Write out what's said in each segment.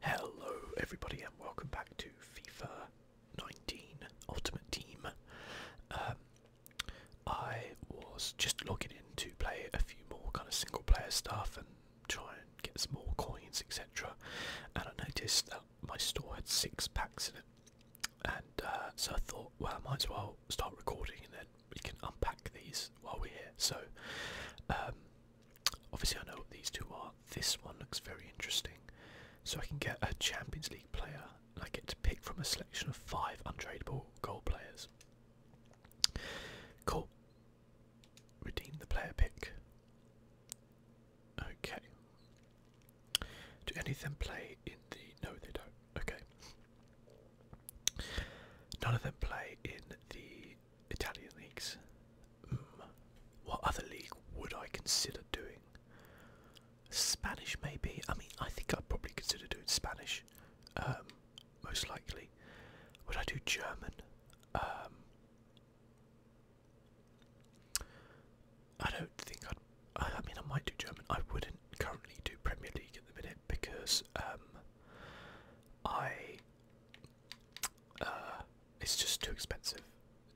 Hello everybody and welcome back to FIFA 19 Ultimate Team. Um, I was just logging in to play a few more kind of single player stuff and try and get some more coins etc and I noticed that my store had six packs in it and uh, so I thought well I might as well start recording and then we can unpack these while we're here so um, Obviously, I know what these two are. This one looks very interesting. So I can get a Champions League player, and I get to pick from a selection of five untradeable goal players. Cool. Redeem the player pick. Okay. Do any of them play in the. No, they don't. Okay. None of them play in the Italian leagues. Mm. What other league would I consider doing? Spanish, maybe. I mean, I think I'd probably consider doing Spanish, um, most likely. Would I do German? Um, I don't think I'd. I mean, I might do German. I wouldn't currently do Premier League at the minute because um, I uh, it's just too expensive,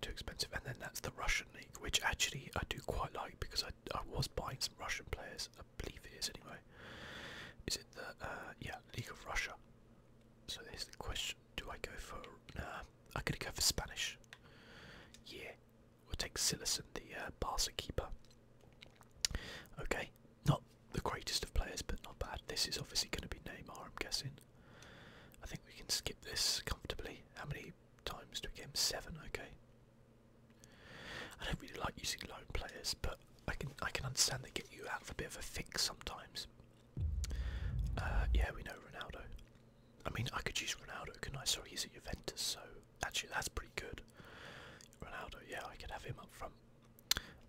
too expensive. And then that's the Russian league, which actually I do quite like because I I was buying some Russian players. I believe it is anyway. Is it the uh, yeah League of Russia? So here's the question: Do I go for? Nah, I'm go for Spanish. Yeah, we'll take Silas and the uh, Barca keeper. Okay, not the greatest of players, but not bad. This is obviously going to be Neymar, I'm guessing. I think we can skip this comfortably. How many times do we get Seven, okay. I don't really like using loan players, but I can I can understand they get you out of a bit of a fix sometimes. Uh, yeah, we know Ronaldo. I mean, I could use Ronaldo, can I? Sorry, he's at Juventus, so actually that's pretty good. Ronaldo, yeah, I could have him up from.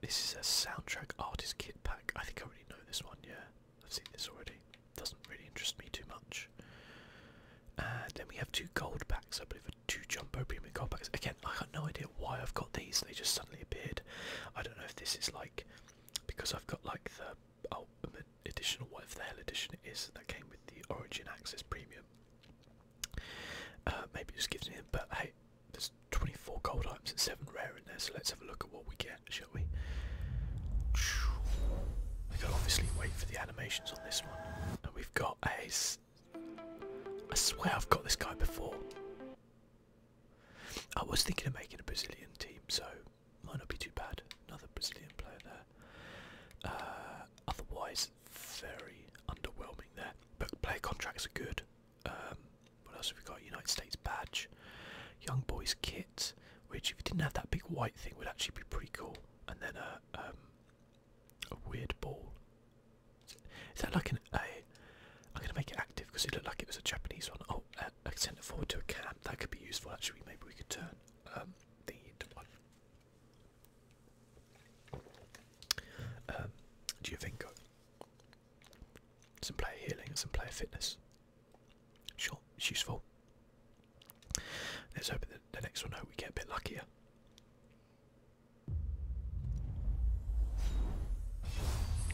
This is a soundtrack artist kit pack. I think I already know this one, yeah. I've seen this already. Doesn't really interest me too much. And then we have two gold packs, I believe, are two jumbo premium gold packs. Again, I have no idea why I've got these. They just suddenly appeared. I don't know if this is like because I've got like the ultimate oh, edition or whatever the hell edition it is that came with the Origin Axis Premium. Uh, maybe it just gives me. But hey, there's 24 gold items and 7 rare in there, so let's have a look at what we get, shall we? We've got to obviously wait for the animations on this one. And we've got a... I swear I've got this guy before. I was thinking of making a Brazilian team, so might not be too bad. Another Brazilian player there. Uh, otherwise, very underwhelming there. But player contracts are good. Um, what else have we got? United States badge, young boys kit, which if you didn't have that big white thing would actually be pretty cool. And then a um, weird ball. Is that like a? I'm gonna make it active because it looked like it was a Japanese one. Oh, uh, I can send it forward to a cam. That could be useful actually. Maybe we could turn um, the into one. Um, uh, some player healing and some player fitness. Sure, it's useful. Let's hope that the next one, hope we get a bit luckier.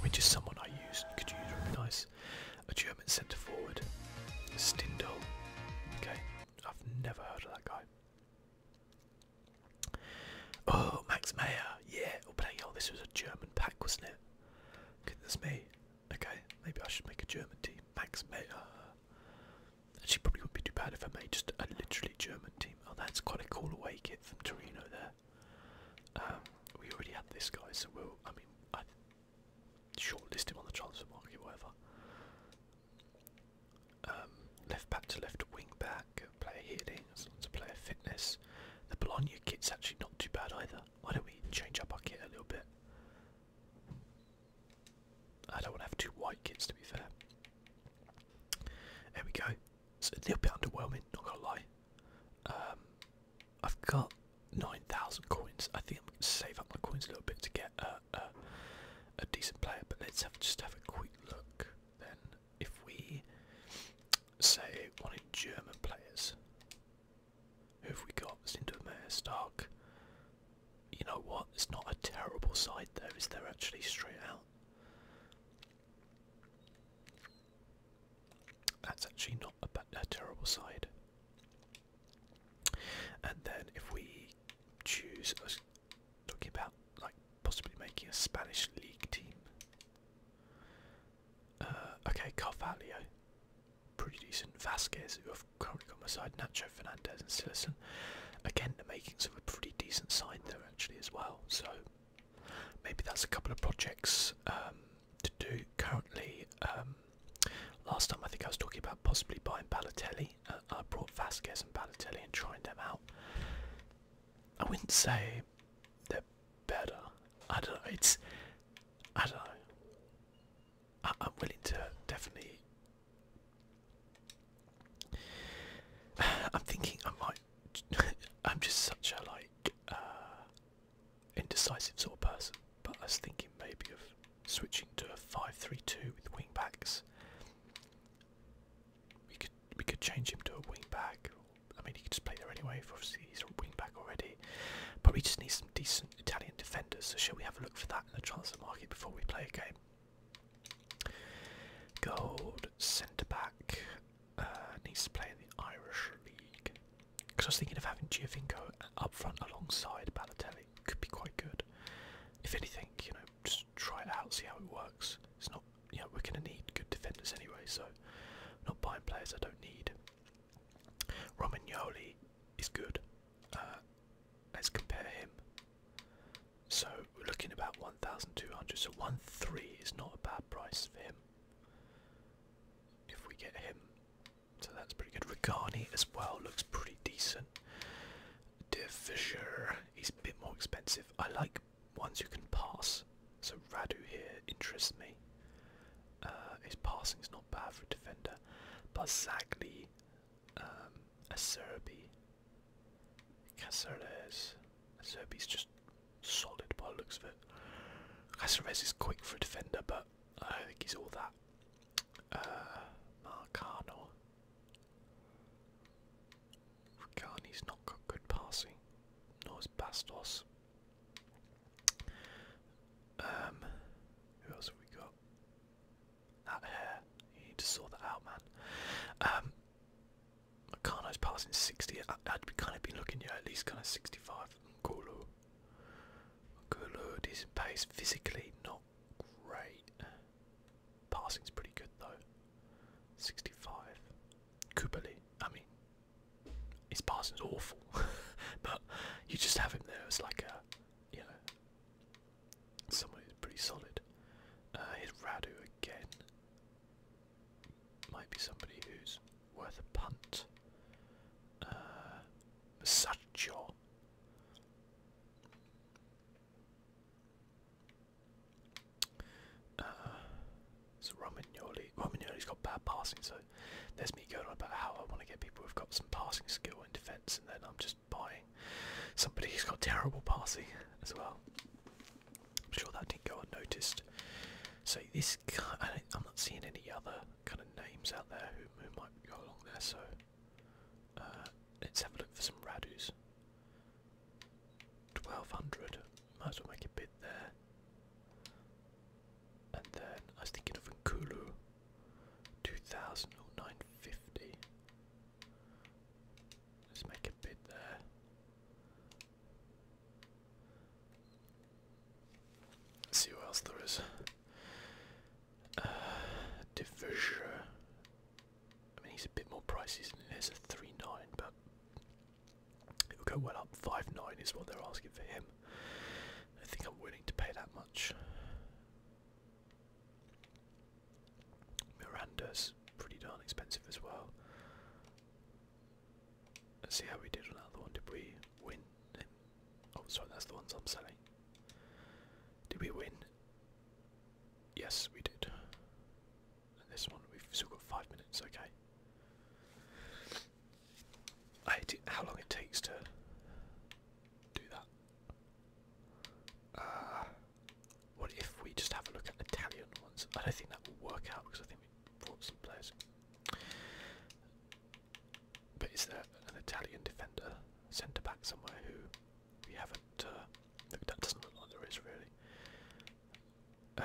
Which is someone I use, could use really nice. A German centre forward, Stindl. Okay, I've never heard of that guy. Oh, Max Meyer, yeah. Oh, bloody hell, oh, this was a German pack, wasn't it? Goodness me. Okay, maybe I should make a German team. Max Meyer. She probably wouldn't be too bad if I made just a literally German team. Oh, that's quite a cool away kit from Torino there. Um, we already had this guy, so we'll, I mean, I shortlist him on the transfer market, whatever. Um, left back to left wing back player healing, as long player fitness. The Bologna kit's actually not too bad either. Why don't we change up our kit a little bit? I don't want to have two white kits to be fair. There we go. It's a little bit underwhelming, not gonna lie. Um, I've got 9,000 coins. I think I'm going to save up my coins a little bit to get a, a, a decent player. But let's have, just have a quick look then if we say wanted German players, who have we got? Sintermeer, Stark. You know what? It's not a terrible side though, is there actually straight out? That's actually not a, terrible side. And then if we choose, I talking about like possibly making a Spanish league team. Uh, okay, Carvalho, pretty decent. Vasquez, who I've currently got my side. Nacho Fernandez and Sillison. Again, the makings of a pretty decent side there actually as well. So maybe that's a couple of projects um, to do currently. Um, last time I think I was talking about possibly buying Balotelli. Uh, I brought Vasquez and Balotelli and trying them out. I wouldn't say they're better. I don't know. It's I don't know. I, am willing to definitely. I'm thinking I might. I'm just such a like uh, indecisive sort of person, but I was thinking maybe of switching to a five-three-two with wing backs. We could we could change him to a wing back. I mean, he could just play there anyway. Obviously, he's a wing back already. But we just need some decent Italian defenders. So shall we have a look for that in the transfer market before we play a game? Gold centre back uh, needs to play in the Irish league. Because I was thinking of having Giovinco up front alongside Balotelli. Could be quite good. If anything, you know, just try it out, see how it works. It's not you we're going to need good defenders anyway, so not buying players I don't need. Romagnoli is good. Uh, let's compare him. So we're looking about 1,200. So 1.3 is not a bad price for him. If we get him, so that's pretty good. Rigani as well looks pretty decent. De Fischer, he's a bit more expensive. I like ones you can pass. So Radu here interests me. Uh, his passing is not bad for a defender, but Zagli, um, Acerbi, Caceres. is just solid by the looks of it. Caceres is quick for a defender, but I don't think he's all that. Uh, Marcano. Rugani's not got good passing, nor is Bastos. Um, who else have we got? That hair. You need to sort that out, man. Um, Meccano's passing 60. I, I'd be kind of been looking, at at least kind of 65. Nkulu. Nkulu, decent pace. Physically, not great. Passing's pretty good, though. 65. Kubali. I mean, his passing's awful, but you just have him there It's like a, you know, somebody who's pretty solid. Uh, Radu again. Might be somebody who's worth a punt. Uh, Masaccio. Uh, so Romagnoli, Romagnoli's got bad passing, so there's me going on about how I want to get people who've got some passing skill in defence, and then I'm just buying somebody who's got terrible passing as well. I'm sure that didn't go unnoticed. So this, I I'm not seeing any other kind of names out there who, who might go along there. So uh, let's have a look for some Radus. 1200. Might as well make a bid there. And then I was thinking of Nkulu. 2950. Let's make a bid there. see what else there is. Uh, I mean, he's a bit more pricey, he? There's a 3 9, but It'll go well up. Five nine is what they're asking for him. I think I'm willing to pay that much. Miranda's pretty darn expensive as well. Let's see how we did on that one. Did we win? Oh, sorry, that's the ones I'm selling. Did we win? Yes, we did. And this one, we've still got five minutes, okay. how long it takes to do that. Uh, what if we just have a look at Italian ones? I don't think that will work out because I think we have brought some players. But is there an Italian defender, centre back somewhere who we haven't? Uh, that doesn't look like there is really. Uh,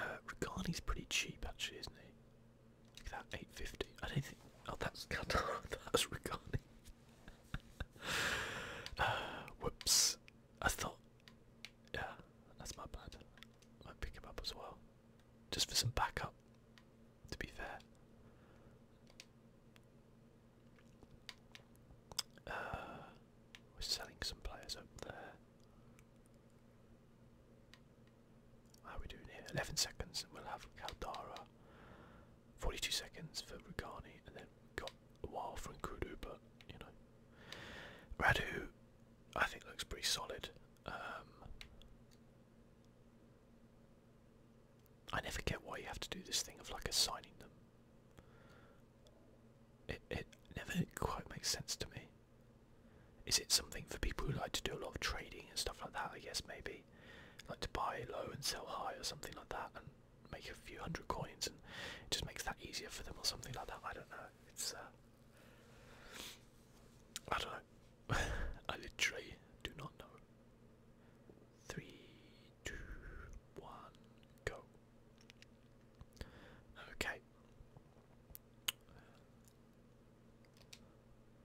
is pretty cheap actually, isn't he? Look at that, 850. I don't think. Oh, that's that's Rigani. Uh, whoops. I thought. Yeah, that's my bad. I pick him up as well, just for some backup. To be fair. Uh, we're selling some players up there. How are we doing here? 11 seconds and we'll have Caldara. 42 seconds for Rugani and then got a while from Kudu but you know. Radu I think looks pretty solid. Um, I never get why you have to do this thing of like assigning them. It, it never quite makes sense to me. Is it something for people who like to do a lot of trading and stuff like that? I guess maybe. Like to buy low and sell high or something like that and make a few hundred coins and it just makes that easier for them or something like that. I don't know. It's, uh, I don't know. I literally do not know. Three, two, one, go. Okay,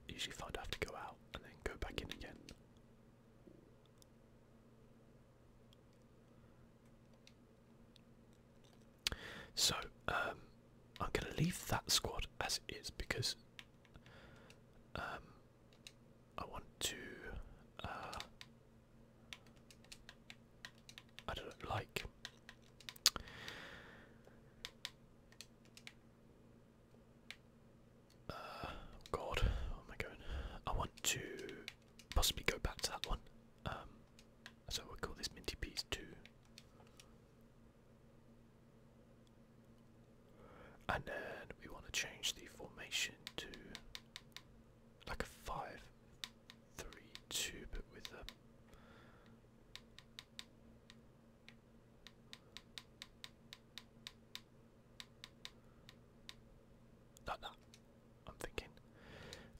usually find I have to go out and then go back in again. So, um, I'm going to leave that squad as it is because um, I want to uh, I don't like. Uh, God, where am I going? I want to possibly go back to that one. Um, so we'll call this Minty Piece 2. And then we want to change the formation to like a 5 three two, but with a not that. I'm thinking.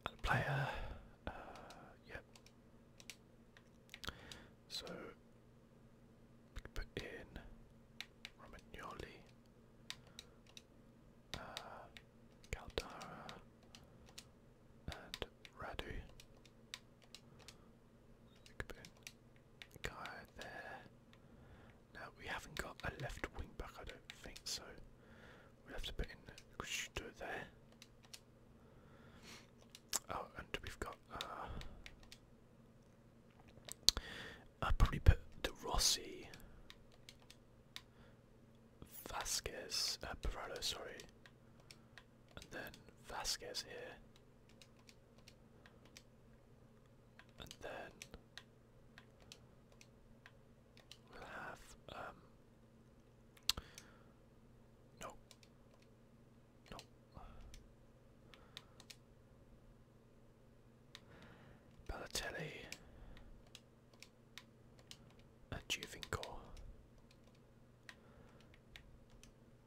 And player. Uh, yep. So put in Romagnoli uh, and Radu. Guy there. Now we haven't got a left wing back, I don't think so. we have to put in Kushto there. Oh, and we've got. Uh, I'd probably put the Rossi Vasquez, uh, sorry, and then Vasquez here, and then we'll have um no no Balotelli a uh, Juvincore.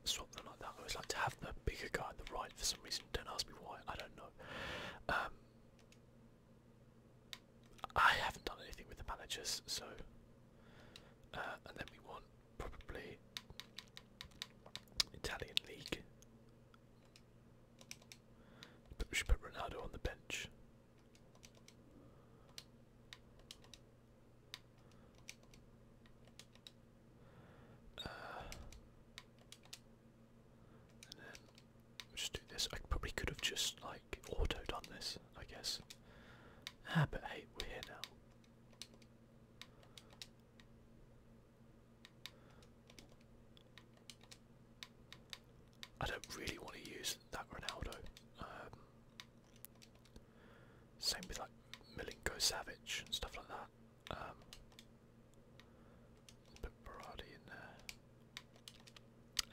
Swap them like that. I always like to have the bigger guy on the right for some reason. Don't ask me why. I don't know. Um, I haven't done anything with the managers, so. Uh, and then we want probably Italian League. But we should put Ronaldo on the bench. Uh, just do this. I probably could have just like auto done this, I guess. Ah, but hey, we're here now. I don't really want to use that Ronaldo. Um, same with like Milinko Savage and stuff like that. Um, put Berardi in there,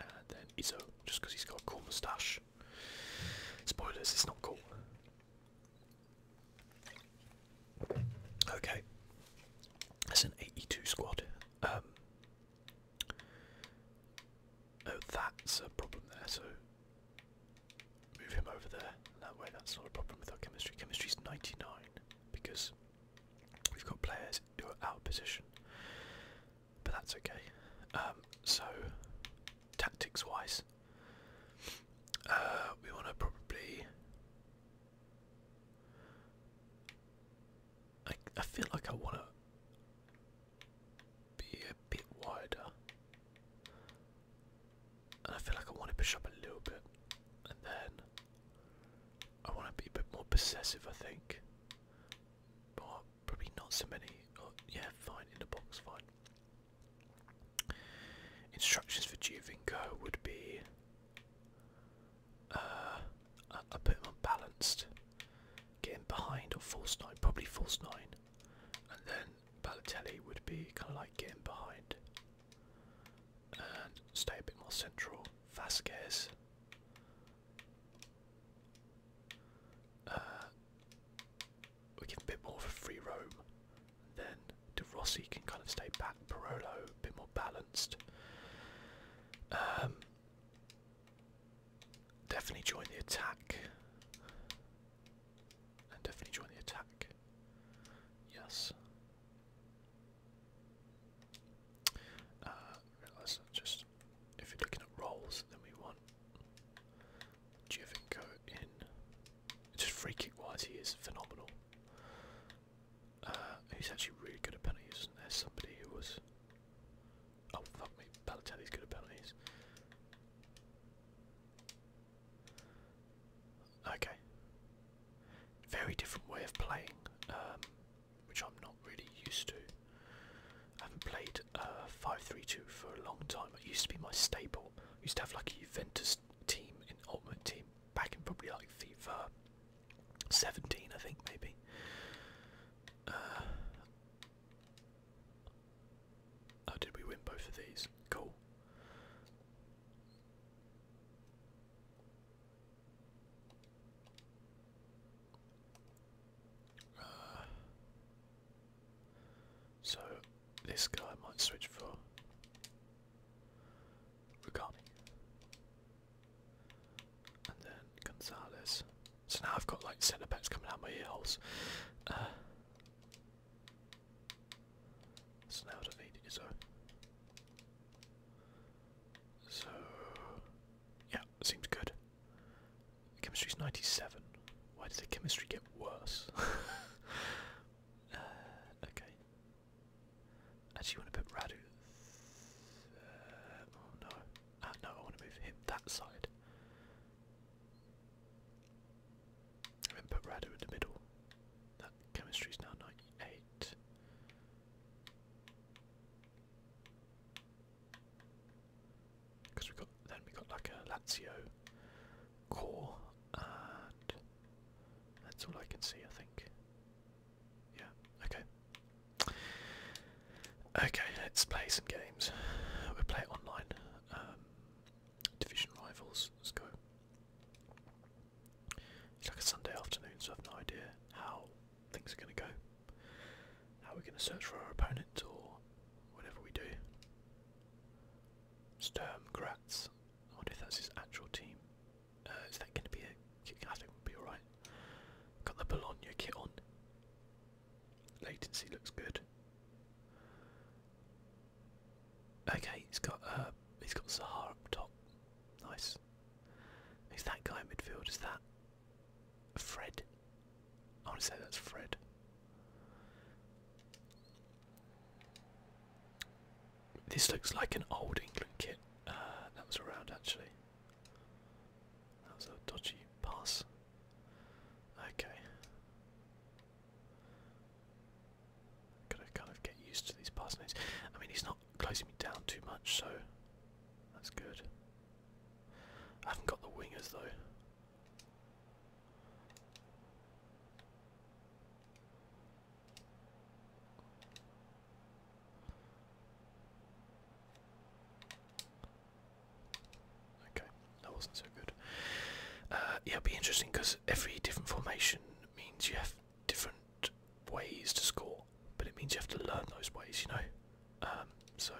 and then Izzo, just because he's got a cool moustache. Spoilers, it's not cool. Okay, that's an 82 squad. Um, Oh, that's a problem there, so move him over there. That way, that's not a problem with our chemistry. Chemistry is 99 because we've got players who are out of position, but that's okay. Um, so, tactics wise, uh, we want to probably. I, I feel like I want to be a bit wider. And I feel like I want to push up a little bit. And then I want to be a bit more possessive, I think. But probably not so many. Oh, yeah, fine, in the box, fine. Instructions for Giovinco would be uh, I, I put him on balanced. Get behind or false nine, probably false nine, and then Balotelli would be kind of like getting behind and stay a bit more central. Vasquez. Uh, we give a bit more of a free roam. And then De Rossi can kind of stay back. Barolo a bit more balanced. Um, Definitely join the attack. And definitely join the attack. Yes. Uh, just, if you're looking at rolls, then we want Giovinco in. Just free kick wise, he is phenomenal. Uh, he's actually really good at penalties, there's somebody who was Oh, fuck me. Balotelli's good at Okay. Very different way of playing, um, which I'm not really used to. I haven't played uh, 5-3-2 for a long time. It used to be my staple. used to have like a Juventus team in Ultimate Team back in probably like FIFA 17, I think, maybe. Uh, oh, did we win both of these? Cool. Uh, so this guy might switch for Rugani. And then Gonzalez. So now I've got like centre backs coming out my ears. Uh, so now I don't need Izzo. So yeah, seems good. Chemistry's 97. Why does the chemistry get worse? Uh, okay. Actually, want to put Radu. Uh, oh no. Oh, no, I want to move him that side. And then put Radu in the middle. That chemistry's now 98. Because we got then we got like a Lazio core, and that's all I can see. I think. Yeah, okay. Okay, let's play some games. we play it online. Um, Division Rivals, let's go. It's like a Sunday afternoon, so I've no idea how things are going to go. How we're going to search for our opponent or whatever we do. Sturm Graz. I wonder if that's his actual team. Uh, is that going to be it? I think we'll be alright. Got the Bologna kit on. Latency looks good. Okay, he's got uh, he's got Sahar up top. Nice. Is that guy in midfield? Is that Fred? I want to say that's Fred. This looks like an old England kit uh, that was around actually. That was a dodgy pass. Okay. Gotta kind of get used to these passing names. I mean, he's not closing me down too much, so that's good. I haven't got the wingers though. Okay, that wasn't so good. Uh, yeah, it'll be interesting because every different formation means you have different ways to score, but it means you have to learn those ways, you know. Um, so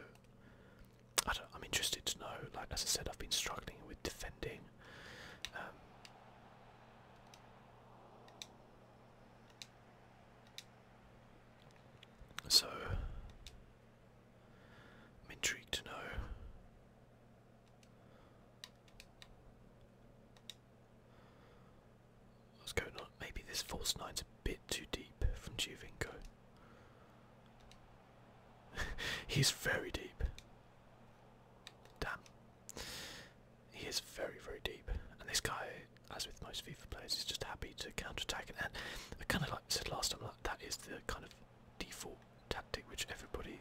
I am interested to know. Like as I said, I've been struggling with defending. Um, so, I'm intrigued to know. What's going on? Maybe this false nine's a bit too deep from Juvinko. He's very deep. Damn. He is very, very deep. And this guy as with most FIFA players, he's just happy to counter-attack. And I kind of like said last time, like, that is the kind of default tactic which everybody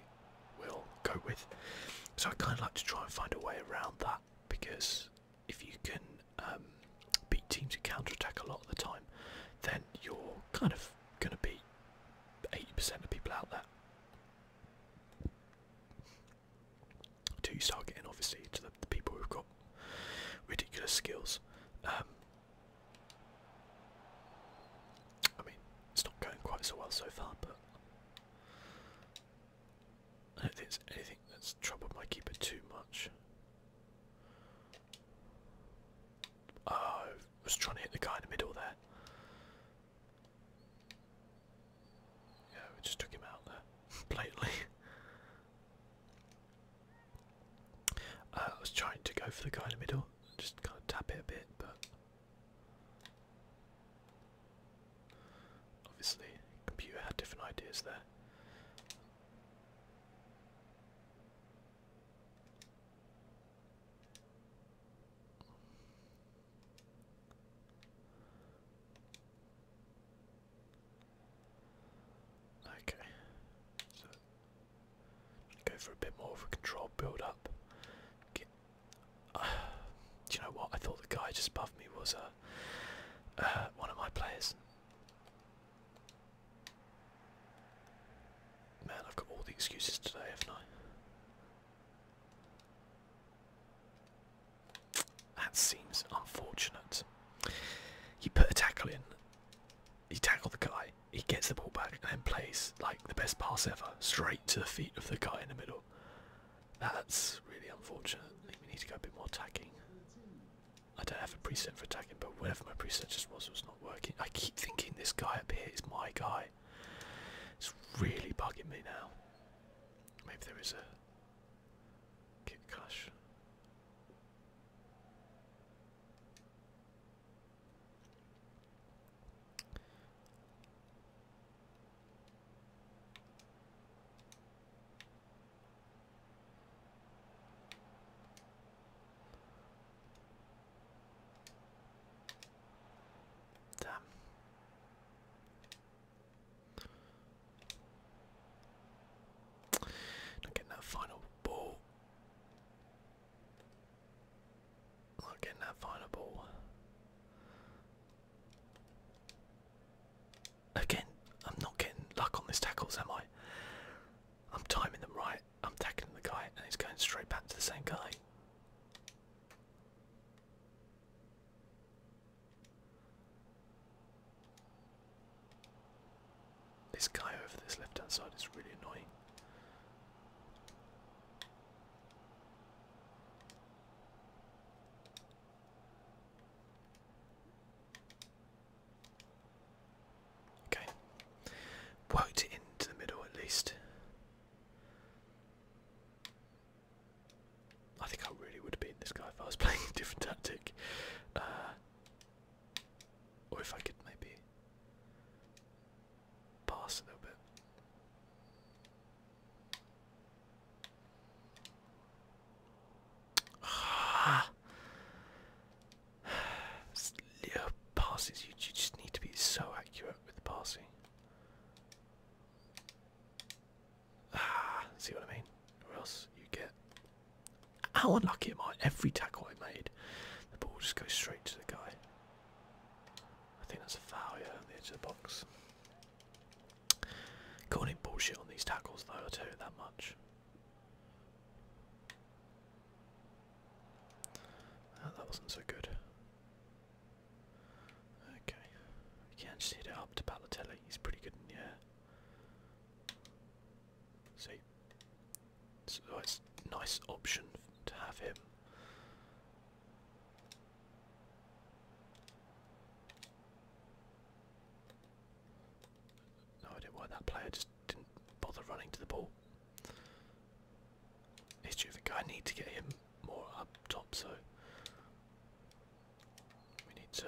will go with. So I kind of like to try and find a way around that because if you can um, beat teams who counter-attack a lot of the time, then you're kind of going to beat 80% of people out there to start getting obviously to the, people who've got ridiculous skills. Um, I mean, it's not going quite so well so far, but I don't think it's anything that's troubled my keeper too much. Oh, I was trying to hit the guy in the middle there. Yeah, we just took him out there, blatantly. Uh, I was trying to go for the guy in the middle, just kind of tap it a bit, but obviously, computer had different ideas there. Okay, so go for a bit more of a control build up. Get, uh, do you know what? I thought the guy just above me was a uh, uh, one of my players. Man, I've got all the excuses today, haven't I? That seems unfortunate. You put a tackle in, you tackle the guy, he gets the ball back and then plays like the best pass ever, straight to the feet of the guy in the middle. That's really unfortunate. I think we need to go a bit more attacking. I don't have a preset for attacking, but whatever my preset just was, it was not working. I keep thinking this guy up here is my guy. It's really bugging me now. Maybe there is a Kit Kush. Damn. Not getting that final ball. Not getting that final ball. Again, I'm not getting luck on these tackles, am I? I'm timing them right. I'm tackling the guy, and he's going straight back to the same guy. This guy over this left hand side is really annoying. Okay. Worked it into the middle at least. I think I really would have beaten this guy if I was playing a different tactic. Uh, or if I could maybe pass a little bit. Ah. passes, you, just need to be so accurate with passing. Ah, see what I mean? Or else you get how unlucky am I? Every tackle I made, the ball just goes straight to the guy. I think that's a foul, yeah, on the edge of the box. Calling him bullshit on these tackles, though, I'll that much. Ah, that wasn't so good. Okay, you can just hit it up to Balotelli. He's pretty good in the air. See, it's a nice option to have him. No idea why that player just didn't bother running to the ball. He's terrific. I need to get him more up top, so we need to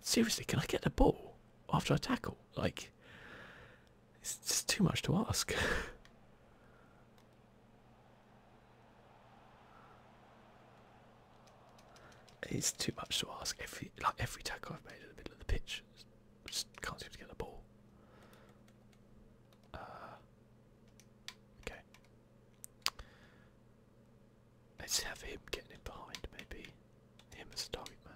Seriously, can I get the ball after I tackle? Like, it's just too much to ask. it's too much to ask. Every like every tackle I've made in the middle of the pitch, just can't seem to get the ball. Uh, okay, Let's have him getting in behind, maybe. Him as a target man.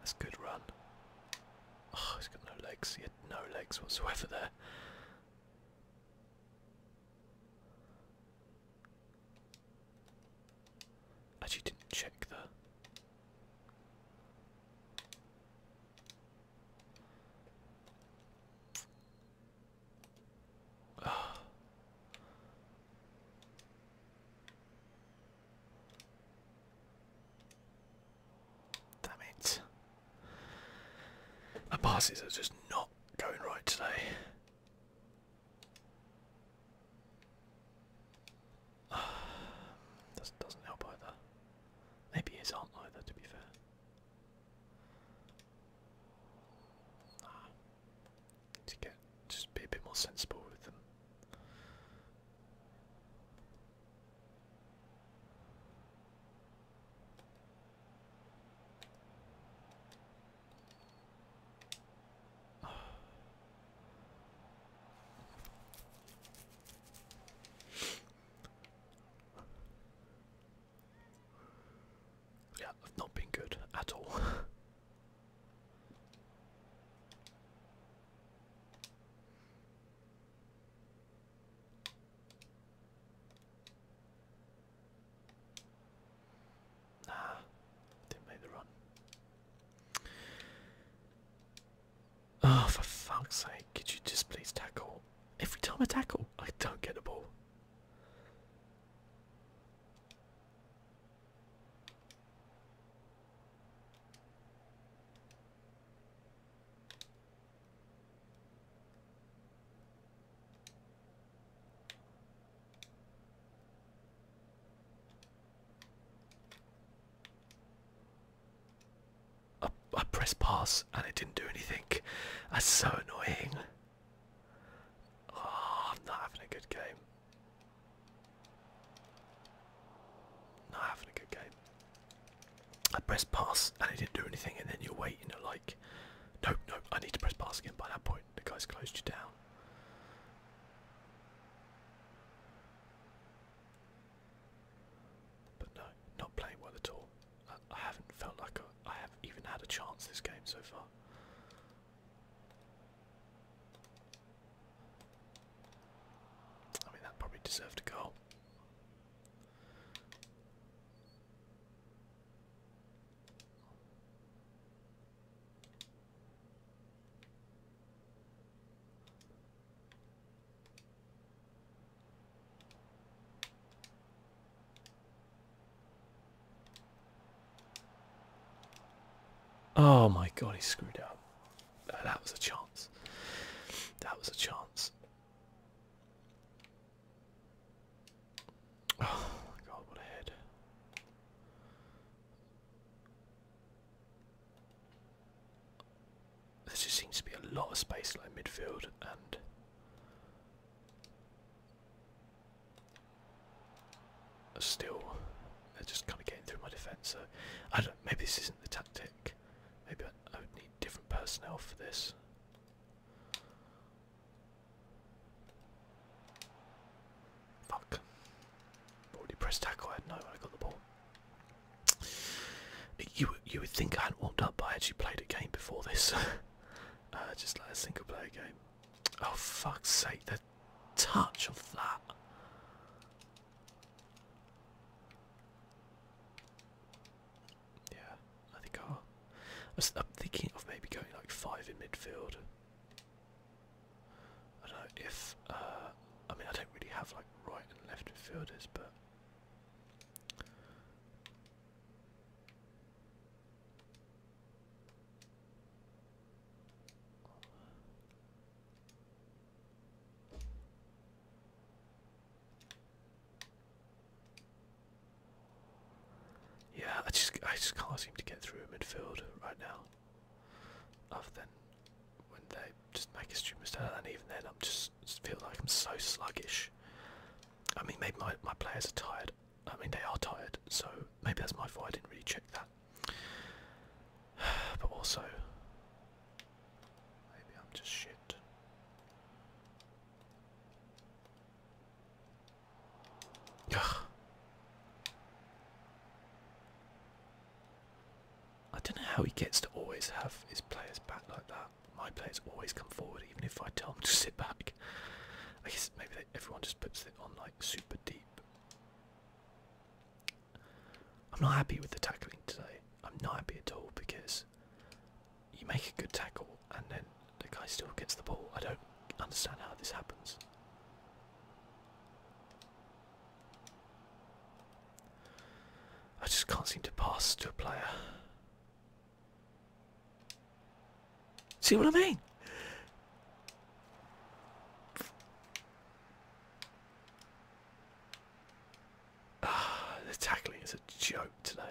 That's a good run. Oh, he's got no legs. He had no legs whatsoever there. Actually, didn't check the. Damn it. My passes are just not going right today. That doesn't help either. Maybe his aren't either, to be fair. To get just be a bit more sensible with them. Yeah, I've not been good at all. nah, didn't make the run. Oh, for fuck's sake, could you just please tackle? Every time I tackle, I don't get the ball. I, I pressed pass and it didn't do anything. That's so annoying. Oh, I'm not having a good game. Not having a good game. I pressed pass and it didn't do anything, and then you're waiting, you know, like, nope, nope, I need to press pass again. By that point, the guy's closed you down. But no, not playing well at all. I, haven't felt like I, I have even had a chance this game so far. I mean, that probably deserved a goal. Oh my god, he screwed up. That was a chance. That was a chance. Oh my god, what a head. There just seems to be a lot of space like midfield and still they're just kind of getting through my defence. So I don't. Maybe this isn't the tactic. Maybe I, would need different personnel for this. Fuck. Already pressed tackle. I no when I got the ball. You you would think I hadn't warmed up, but I actually played a game before this. Uh, just like a single player game. Oh fuck's sake! The touch of that. Yeah, I think I. I'm thinking of maybe going like five in midfield. I don't know if. Uh, I mean, I don't really have like right and left midfielders, but yeah, I just I just can't seem to get through midfield right now. Other than when they just make a stupid mistake, and even then, I'm just feel like I'm so sluggish. I mean, maybe my my players are tired. I mean, they are tired, so maybe that's my fault. I didn't really check that. But also, maybe I'm just shit. Ugh. I don't know how he gets to always have his players back like that. My players always come forward, even if I tell them to sit back. I guess maybe everyone just puts it on like super deep. I'm not happy with the tackling today. I'm not happy at all because you make a good tackle and then the guy still gets the ball. I don't understand how this happens. I just can't seem to pass to a player. See what I mean? Ah, the tackling is a joke today.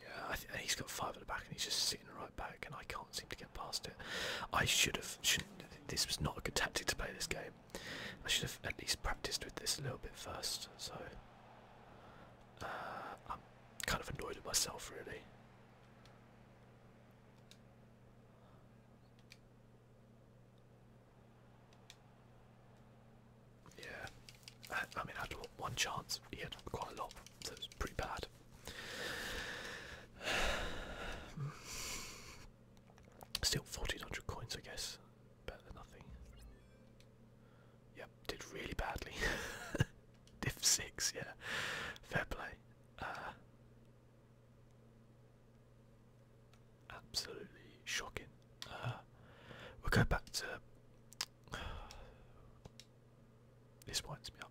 Yeah, he's got five at the back and he's just sitting right back, and I can't seem to get past it. I should have. Shouldn't, this was not a good tactic to play this game. I should have at least practiced with this a little bit first. So uh, I'm kind of annoyed at myself, really. Yeah. I, mean, after one chance, he had quite a lot, so was pretty bad. Still 1400 coins, I guess. Better than nothing. Yep, did really badly. Diff 6, yeah. Fair play. Uh, absolutely shocking. Uh, we'll go back to This winds me up.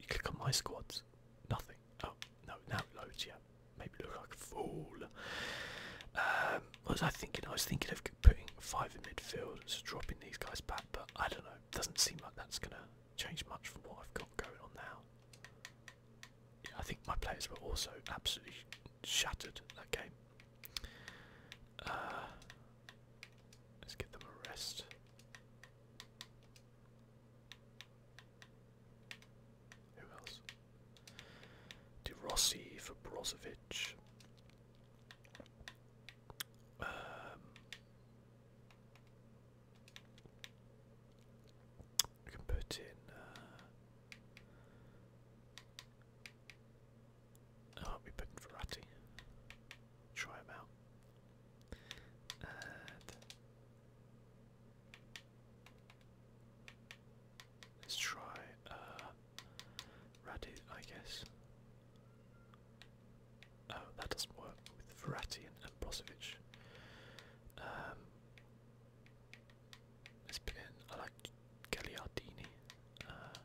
You click on my squads, nothing. Oh no, now it loads. Yeah, maybe look like a fool. Um, what was I thinking? I was thinking of putting five in midfield, so dropping these guys back. But I don't know. Doesn't seem like that's gonna change much from what I've got going on now. Yeah, I think my players were also absolutely shattered that game. Uh, let's give them a rest. Who else? De Rossi for Brozovic. Um, can put in. Uh, I'll oh, be picking Verratti. Try him out. let's try uh, Radu, I guess. Oh, that doesn't work with Verratti and, and Um, let's put in, I like Gagliardini. Uh,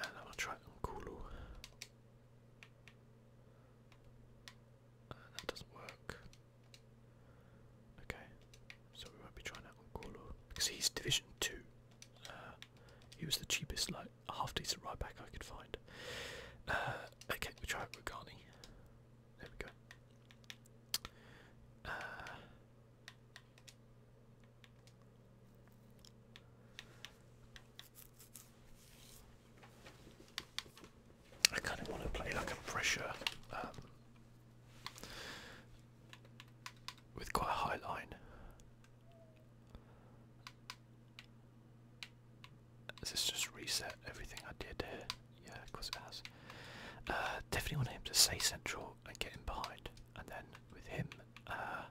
and I'll try Unkulu. Uh, that doesn't work. Okay, so we will be trying out Unkulu because he's Division 2. Uh, he was the cheapest, like, half decent right back I could find. Uh, okay, we try out Rugani. There we go. I kind of want to play like a pressure um, with quite a high line. Has this just reset everything I did Yeah, of it has. Uh, definitely want him to stay central and get him behind, and then with him, uh,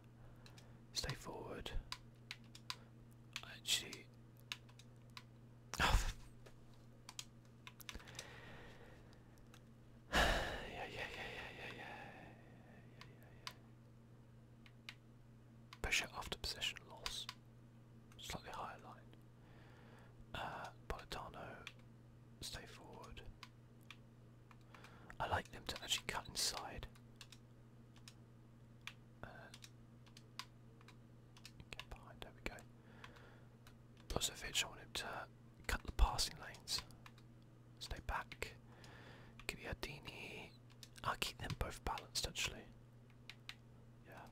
stay forward. Actually, yeah, yeah, yeah, yeah, yeah, yeah, yeah, yeah, yeah. Pressure after possession loss, slightly higher line. Uh, stay forward. I like them to actually cut inside. Uh, get behind, there we go. Brozovic, I want him to cut the passing lanes. Stay back. Give Giardini. I'll keep them both balanced actually. Yeah.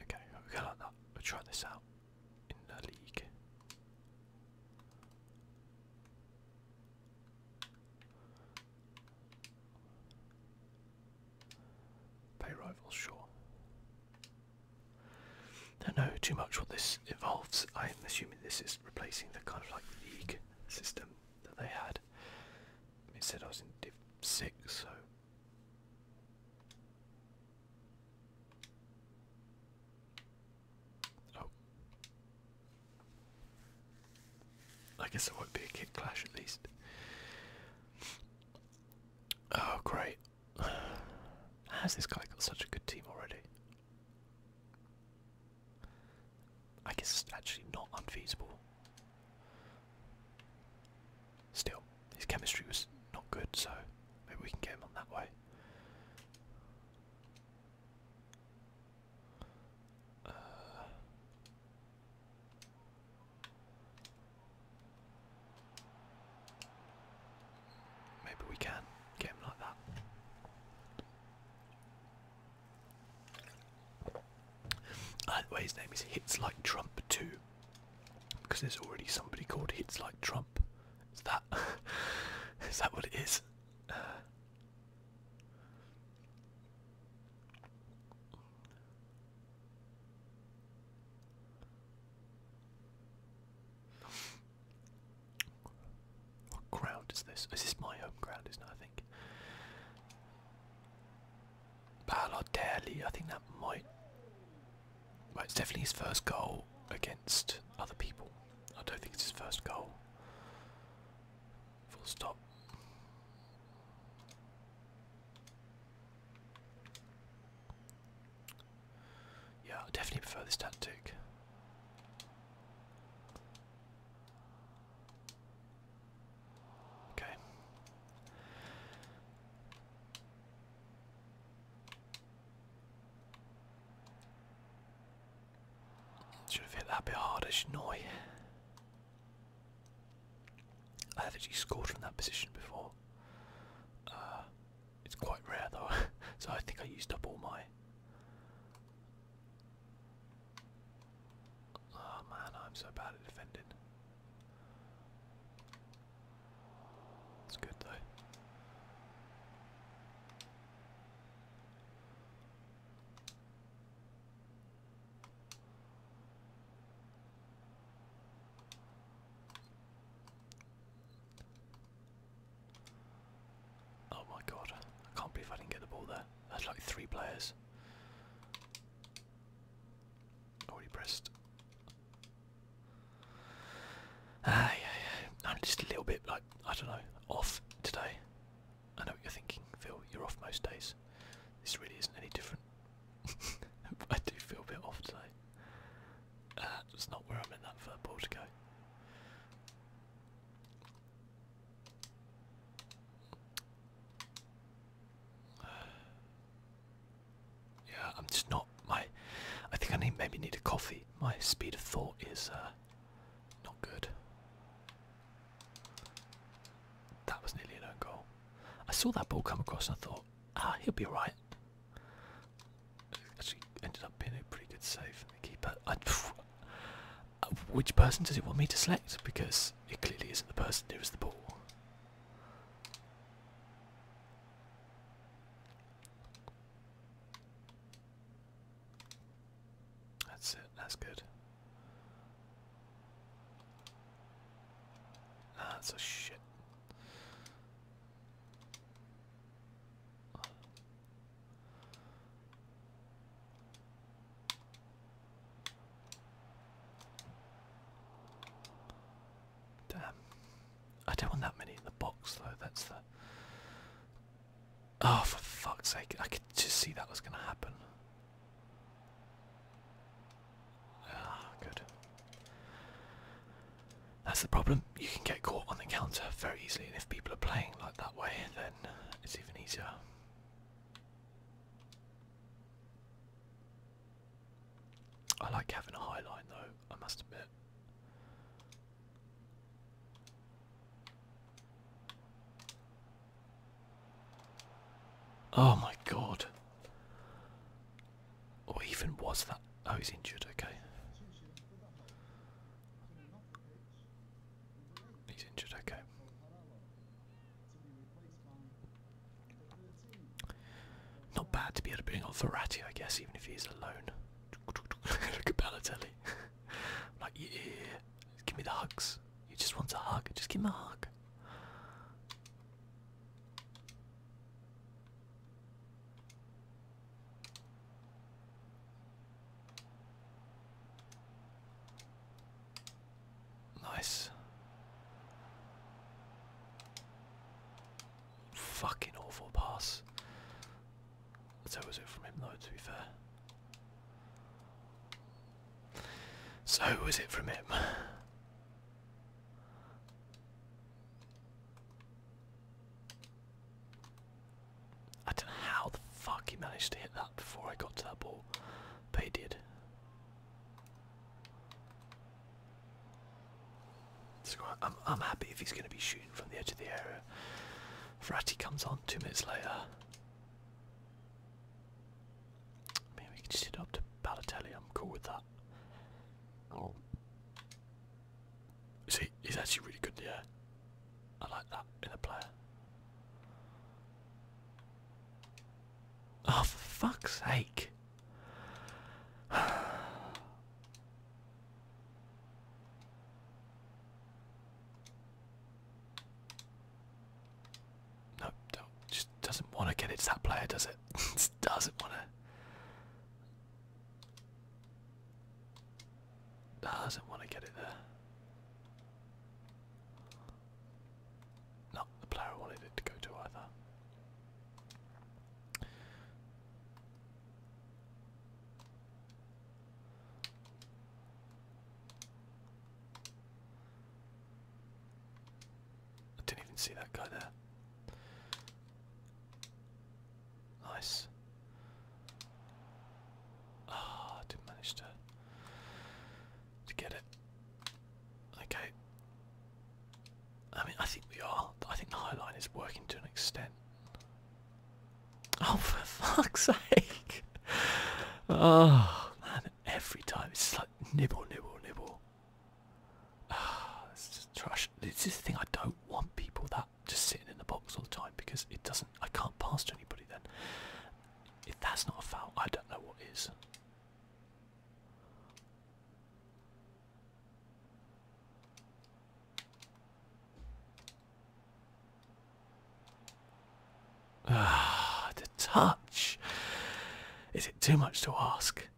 Okay, we're gonna try this out in the league. Pay rivals, sure. Don't know too much what this involves. I'm assuming this is replacing the kind of like league system that they had. It said I was in Div 6, so Oh. I guess it won't be a kick clash at least. Oh, great. How's this guy got such a good team already? I guess it's actually not unfeasible. Still, his chemistry was not good, so maybe we can get him on that way. Uh, maybe we can get him like that. Uh, the way his name is hits like Trump too because there's already somebody called hits like Trump. Is that is that what it is? what ground is this? Is this my home ground? I think. Balotelli, I think that might. Well, it's definitely his first goal against other people. I don't think it's his first goal. Full stop. Yeah, I definitely prefer this tactic. Okay. Should have hit that bit harder, shouldn't I? have actually scored from that position before. Uh, it's quite rare though, so I think I used up all my. Oh man, I'm so bad at defending. It's good though. Oh my god, I can't believe I didn't get the ball there. That's like three players. Already pressed I'm just a little bit like I don't know off today. I know what you're thinking, Phil. You're off most days. This really isn't any different. I do feel a bit off today. Uh, that's not where I am in that fur ball to go. Yeah, I'm just not my. I think I need maybe need a coffee. My speed of thought is uh, not good. That was nearly an own goal. I saw that ball come across and I thought, ah, he'll be alright. Actually, ended up being a pretty good save keeper. Uh, which person does it want me to select? Because it clearly isn't the person who has the ball. That's it, that's good. That's a shit. Damn. I don't want that many in the box though, that's the Oh for fuck's sake, I could just see that was gonna happen. Ah, good. That's the problem. You can get caught on the counter very easily, and if people are playing like that way, then it's even easier. I like having a high line though, I must admit. Oh my god. Or even was that? Oh, he's injured, okay. He's injured, okay. Not bad to be able to bring on Verratti, I guess, even if he's alone. Look at Balotelli. like, yeah, give me the hugs. You just want a hug. Just give him a hug. Nice. Fucking awful pass. So was it from him though, to be fair. So was it from him. I don't know how the fuck he managed to hit that before I got to that ball, but he did. I'm, happy if he's going to be shooting from the edge of the area. Ferrati comes on two minutes later. Maybe we can just up to Balotelli. I'm cool with that. See, he's actually really good in I like that in a player. Oh, for fuck's sake. nope, don't. Just doesn't want to get it to that player, does it? doesn't want to. Doesn't want to get it there. Not the player I wanted it to go to either. I didn't even see that guy there. Nice. Ah, didn't manage to to get it. Okay. I mean, I think we are. I think the High Line is working to an extent. Oh, for fuck's sake! Oh, man, every time it's like nibble, nibble, nibble. Ah, oh, it's just trash. is just the thing I don't want people that just sitting in the box all the time because it doesn't. I can't pass to anybody then. If that's not a foul, I don't know what is. Ah, the touch. Is it too much to ask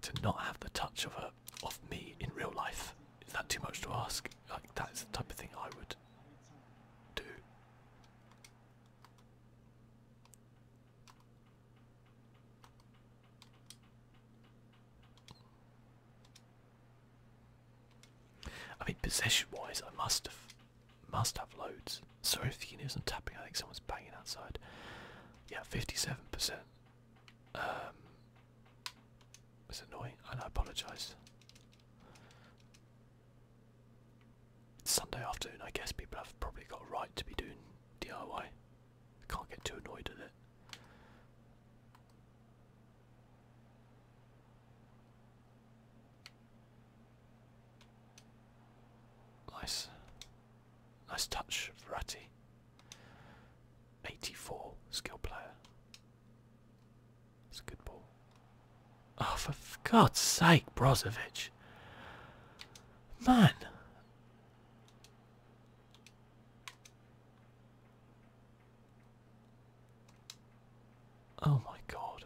to not have the touch of a of me in real life? Is that too much to ask? Like that is the type of thing I would do. I mean, possession-wise, I must have, must have loads. Sorry if you can hear tapping. I think someone's banging outside. Yeah, fifty-seven percent. Um, it's annoying, and I apologise. Sunday afternoon, I guess people have probably got a right to be doing DIY. Can't get too annoyed at it. Nice. Nice touch, Verratti. 84 skill player. That's a good ball. Oh, for God's sake, Brozovic. Man. Oh my god.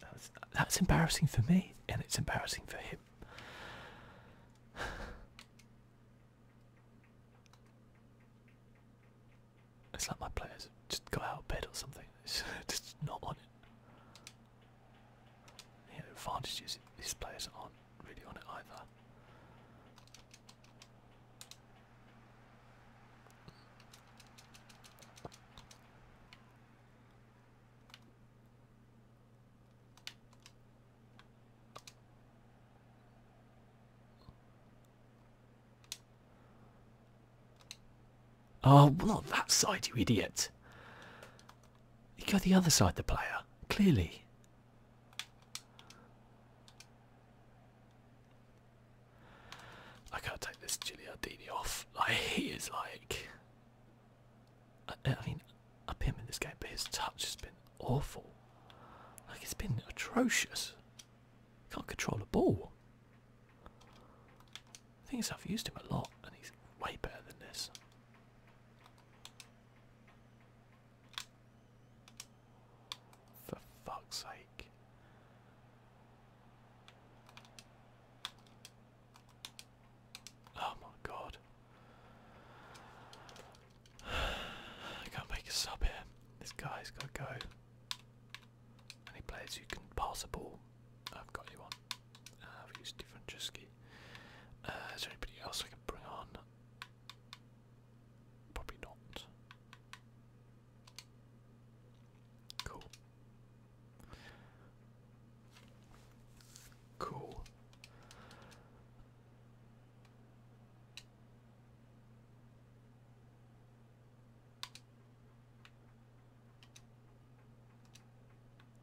That's, that's embarrassing for me, and it's embarrassing for him. It's like my players just got out of bed or something. It's just not on it you know, advantages These players aren't really on it either. Oh, not that side, you idiot. You go the other side, the player, clearly. I can't take this Giuliani off. Like, he is like. I, mean, I mean, up him in this game, but his touch has been awful. Like, it's been atrocious. Can't control a ball. I think is, I've used him a lot, and he's way better than this. For fuck's sake. Oh my god. I can't make a sub here. This guy's gotta go. Any players who can pass a ball, I've got you on we use different uh, is there anybody else I can bring on? Probably not. Cool. Cool.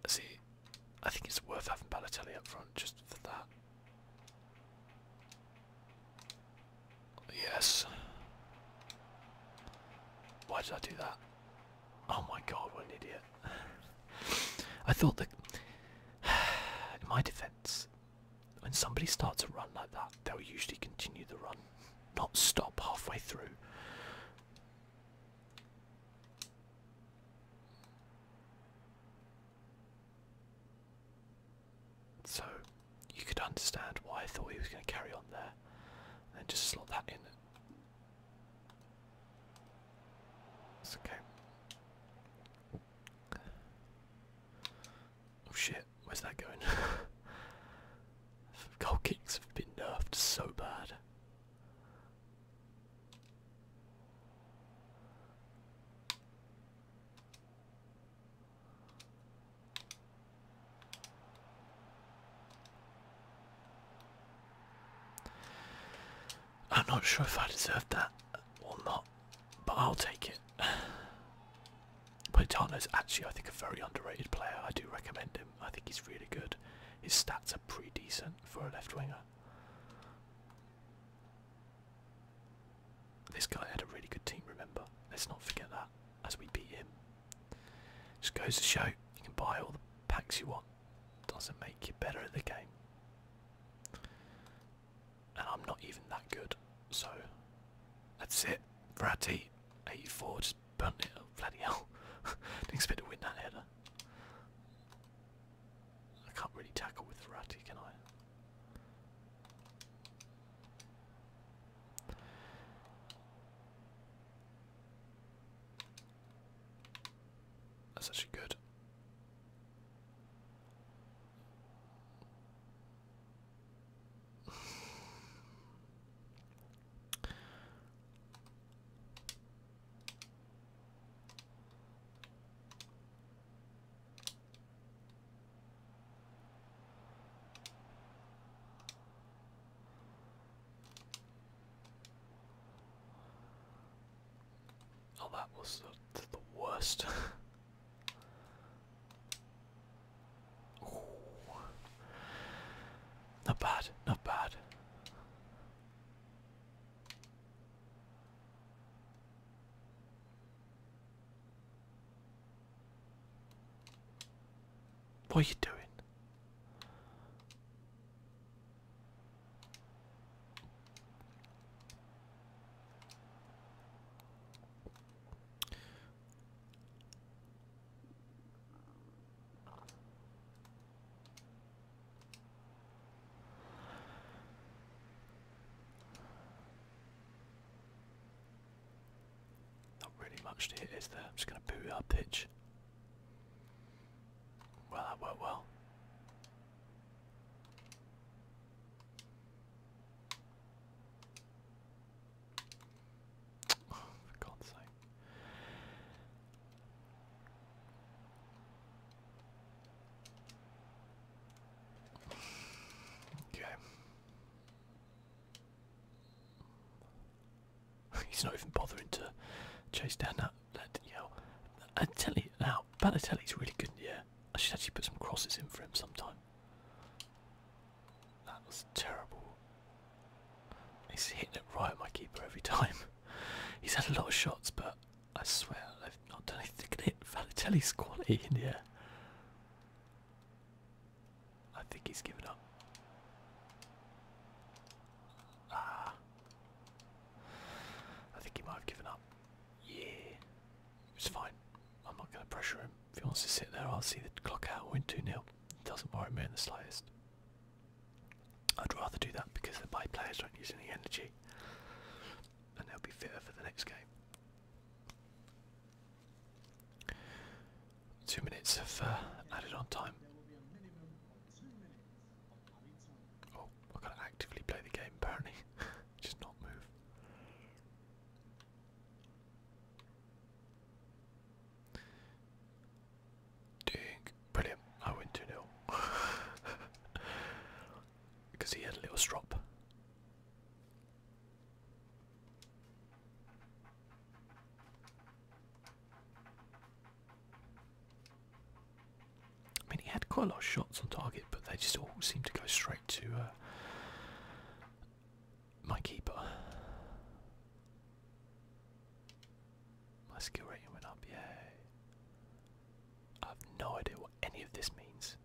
See, I think it's worth having Balotelli up front just for that. Yes. Why did I do that? Oh my god, what an idiot. I thought that. In my defense, when somebody starts a run like that, they'll usually continue the run, not stop halfway through. So you could understand why I thought he was going to carry on there and just slot that in. okay. Oh shit, where's that going? Goal kicks have been nerfed so bad. I'm not sure if I deserve that or not, but I'll take it. is actually, I think, a very underrated player. I do recommend him. I think he's really good. His stats are pretty decent for a left winger. This guy had a really good team, remember? Let's not forget that as we beat him. Just goes to show you can buy all the packs you want. Doesn't make you better at the game. And I'm not even that good. So that's it. Ratty, 84, just burn it Didn't expect to win that header. I can't really tackle with Ratty, can I? That's actually good. Oh, that was the, worst. Not bad, not bad. What are you doing? Not really much to hit, there? I'm just going to boot our pitch. Well, that worked well. for God's sake. Okay. He's not even bothering to chase down that. that you know, I tell you now, Balotelli's really good. Yeah, I should actually put some crosses in for him sometime. That was terrible. He's hitting it right at my keeper every time. He's had a lot of shots, but I swear I've not done anything to hit Valitelli's quality in here. I think he's given up. Ah. I think he might have given up. Yeah. It's fine. I'm not going to pressure him. If he wants to sit there, I'll see the clock out. Win 2 0. Doesn't worry me in the slightest. I'd rather do that because the my players don't use any energy and they'll be fitter for the next game. Two minutes have uh, added on time. Oh, I've got to actively play the game apparently, just not move. Ding. Brilliant. I win 2 0. because he had a little strop. I mean, he had quite a lot of shots on target, but they just all seemed to go straight to uh, my keeper. My skill rating went up, yay. I have no idea what any of this means.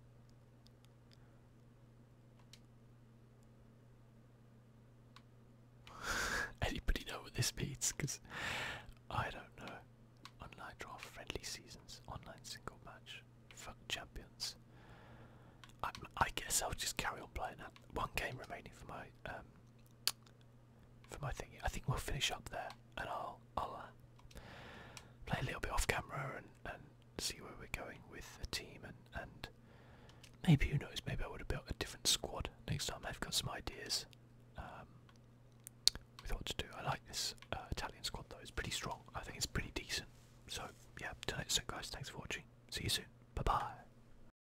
Anybody know what this means? Because I don't know. Online draft, friendly seasons, online single match, fuck champions. I, guess I'll just carry on playing that. One game remaining for my um, for my thingy. I think we'll finish up there, and I'll uh, play a little bit off camera and see where we're going with the team, and maybe who knows, maybe I would have built a different squad next time. I've got some ideas um, with to do. I like this uh, Italian squad though; it's pretty strong. I think it's pretty decent. So yeah, till next time, guys. Thanks for watching. See you soon. Bye bye.